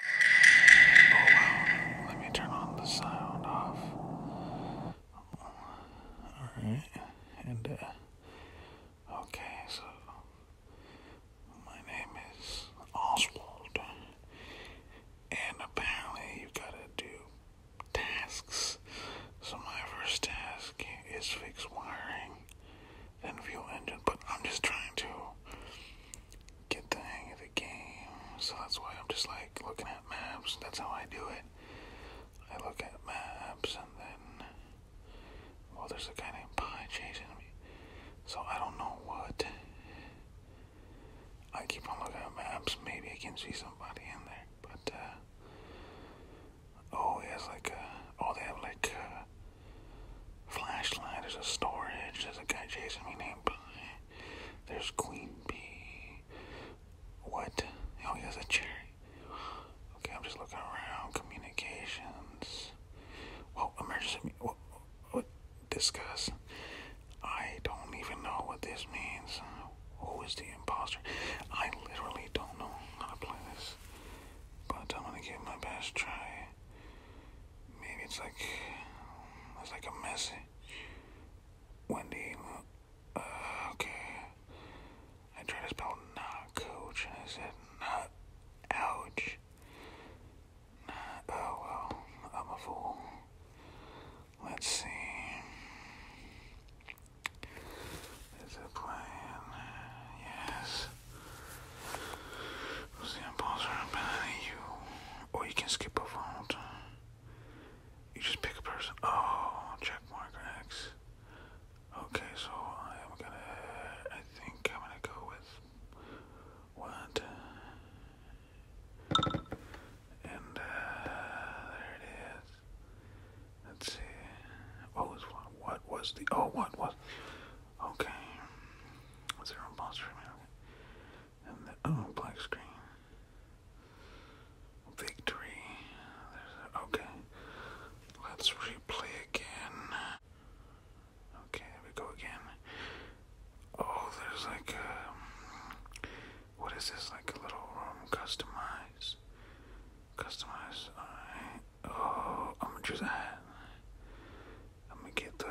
Oh, let me turn on the sound off. Alright, and uh, okay, so my name is Oswald, and apparently you gotta do tasks. So, my first task is fix wiring, then fuel engine, but I'm just trying to get the hang of the game. So that's why I'm just like looking at maps. That's how I do it. I look at maps and then, well, there's a guy named Pie chasing me. So I don't know what. I keep on looking at maps. Maybe I can see somebody in there. But, uh, oh, he has like oh, they have like Flashlight, there's a storage, there's a guy chasing me named Pie. There's Queen Bee. What? Oh, he has a cherry. Okay, I'm just looking around. Communications. Well, emergency. What? what discuss. I don't even know what this means. Who is the imposter? I literally don't know how to play this. But I'm gonna give my best try. Maybe it's like it's like a messy Wendy. Uh, okay, I tried to spell not coach, and I said not. Ouch. oh well, I'm a fool. Let's see. Is it playing? Yes. What's the impulse right behind you? Or you can skip a vote. You just pick a person. Oh, check mark X. Okay, so I am gonna. I think I'm gonna go with what? And uh, there it is. Let's see. What was What was the? Oh, what was? Okay. Zero imposter. Okay. And the oh black screen. Victory. okay. Let's replay again. Okay, there we go again. Oh, there's like a what is this? Like a little room um, customize. Customize. Alright. Uh, Oh, I'm gonna choose a I'm gonna get the,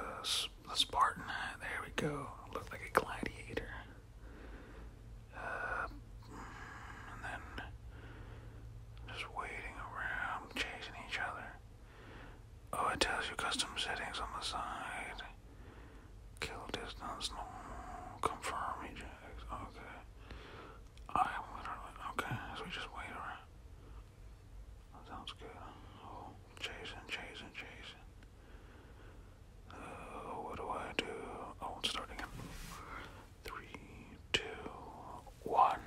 the Spartan hat. There we go. Look like a gladiator. Uh, and then just waiting around, chasing each other. Oh, it tells you custom settings on the side. Kill distance, normal, confirm ejects. Okay. I am literally okay, so we just wait around. sounds good. Oh, chasing, chasing, chasing. Uh, what do I do? Oh, starting in three, two, one.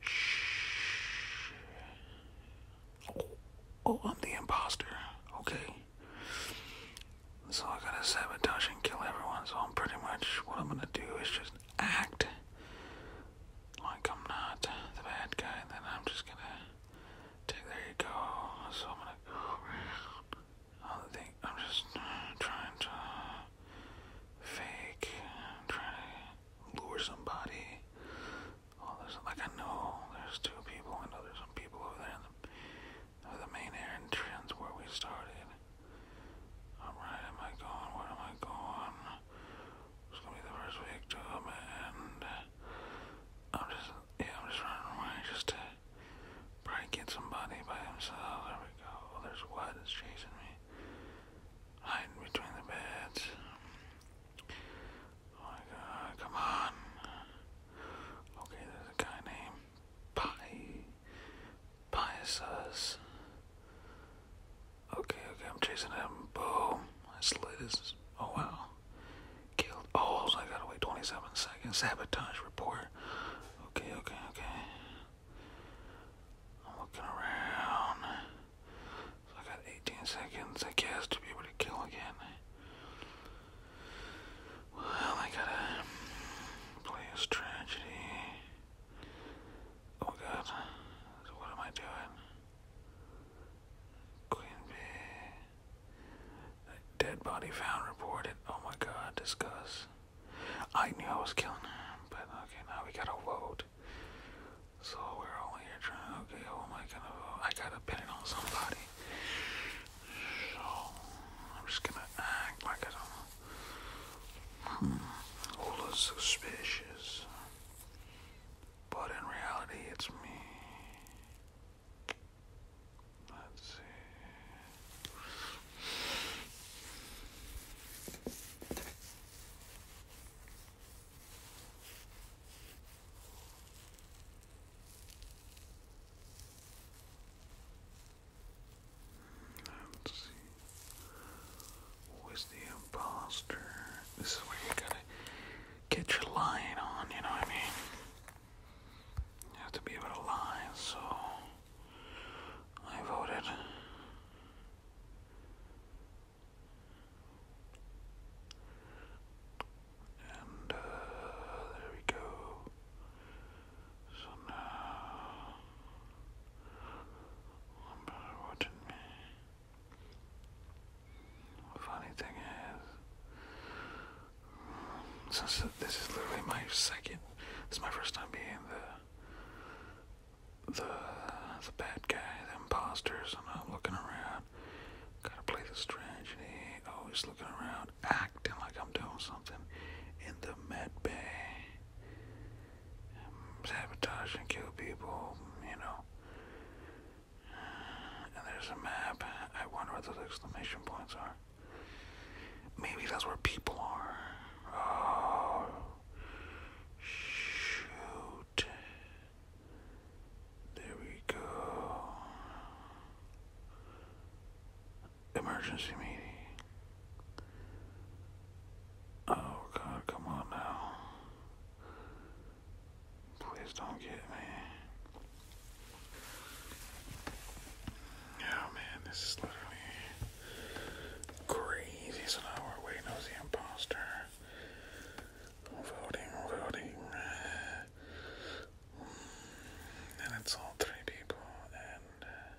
Shh. Oh, oh, I'm the imposter. Okay. So I gotta sabotage and kill everyone. So I'm pretty much what I'm gonna do is just act like I'm not the bad guy. then I'm just gonna take. There you go. So I'm gonna I'm just trying to fake, trying to lure somebody. Oh, there's like I know there's two people. I know there's some people over there the main entrance where we started. Alright, am I going? Where am I going? It's gonna be the first week to um, and I'm just, yeah, I'm just running away just to probably get somebody by himself. There we go. Oh, there's what is chasing me. Hiding between the beds. Oh my god, come on. Okay, there's a guy named Pi. Piesus. Okay, okay, I'm chasing him. Boom. I slid Oh, wow. Killed. Oh, I gotta wait 27 seconds. Sabotage report. Okay, okay, okay. I'm looking around. So I got 18 seconds, I guess, to be able to kill again. Well, I gotta play his tragedy. Oh god, what am I doing? Queen Bee. Dead body found, reported. Oh my god, disgust. I knew I was killing her, but okay, now we gotta vote. So we're all trying. Okay, who am I I gotta pin it on somebody. So I'm just gonna act like I don't. Hmm. All is suspicious, but in reality, it's me. Let's see. Let's see. Who is the imposter? This is where you gotta get your line on, you know what I mean? You have to be able to lie, so I voted. And uh, there we go. So now, I'm watching me. funny thing is, since this is literally my second, this is my first time being the the the bad guy, the imposters, and I'm looking around. Gotta play the strategy. Oh, Always looking around, acting like I'm doing something in the med bay. Sabotage and kill people, you know. And there's a map. I wonder what those exclamation points are. Maybe that's where people are. Oh. Shoot. There we go. Emergency meeting. Oh God, come on now. Please don't get me. Oh man, this is literally crazy. So now we're waiting on the imposter voting, voting. Eh. And it's all three people, and uh,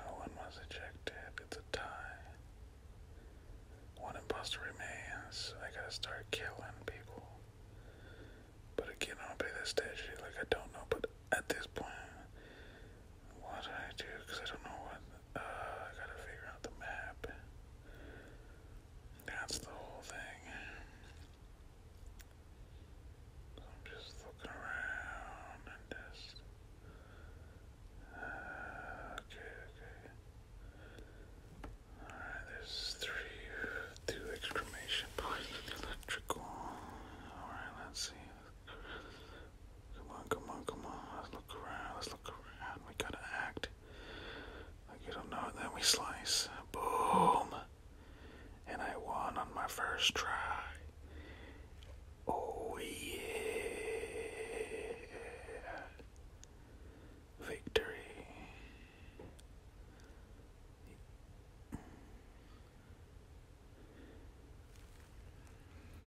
no one was ejected. It's a tie. One imposter remains. I gotta start killing people. But again, I'll play this statue like I don't know, but at this point, what do I do? Because I don't know what uh, I gotta figure out the map. That's the whole thing. I'm just looking around and just. Uh, okay, okay. Alright, there's three, two exclamation points electrical. Alright, let's see. Come on, come on, come on. Let's look around. Let's look around. We gotta act. Like you don't know it, then we slice. Boom! And I won on my first try. Oh yeah. Victory.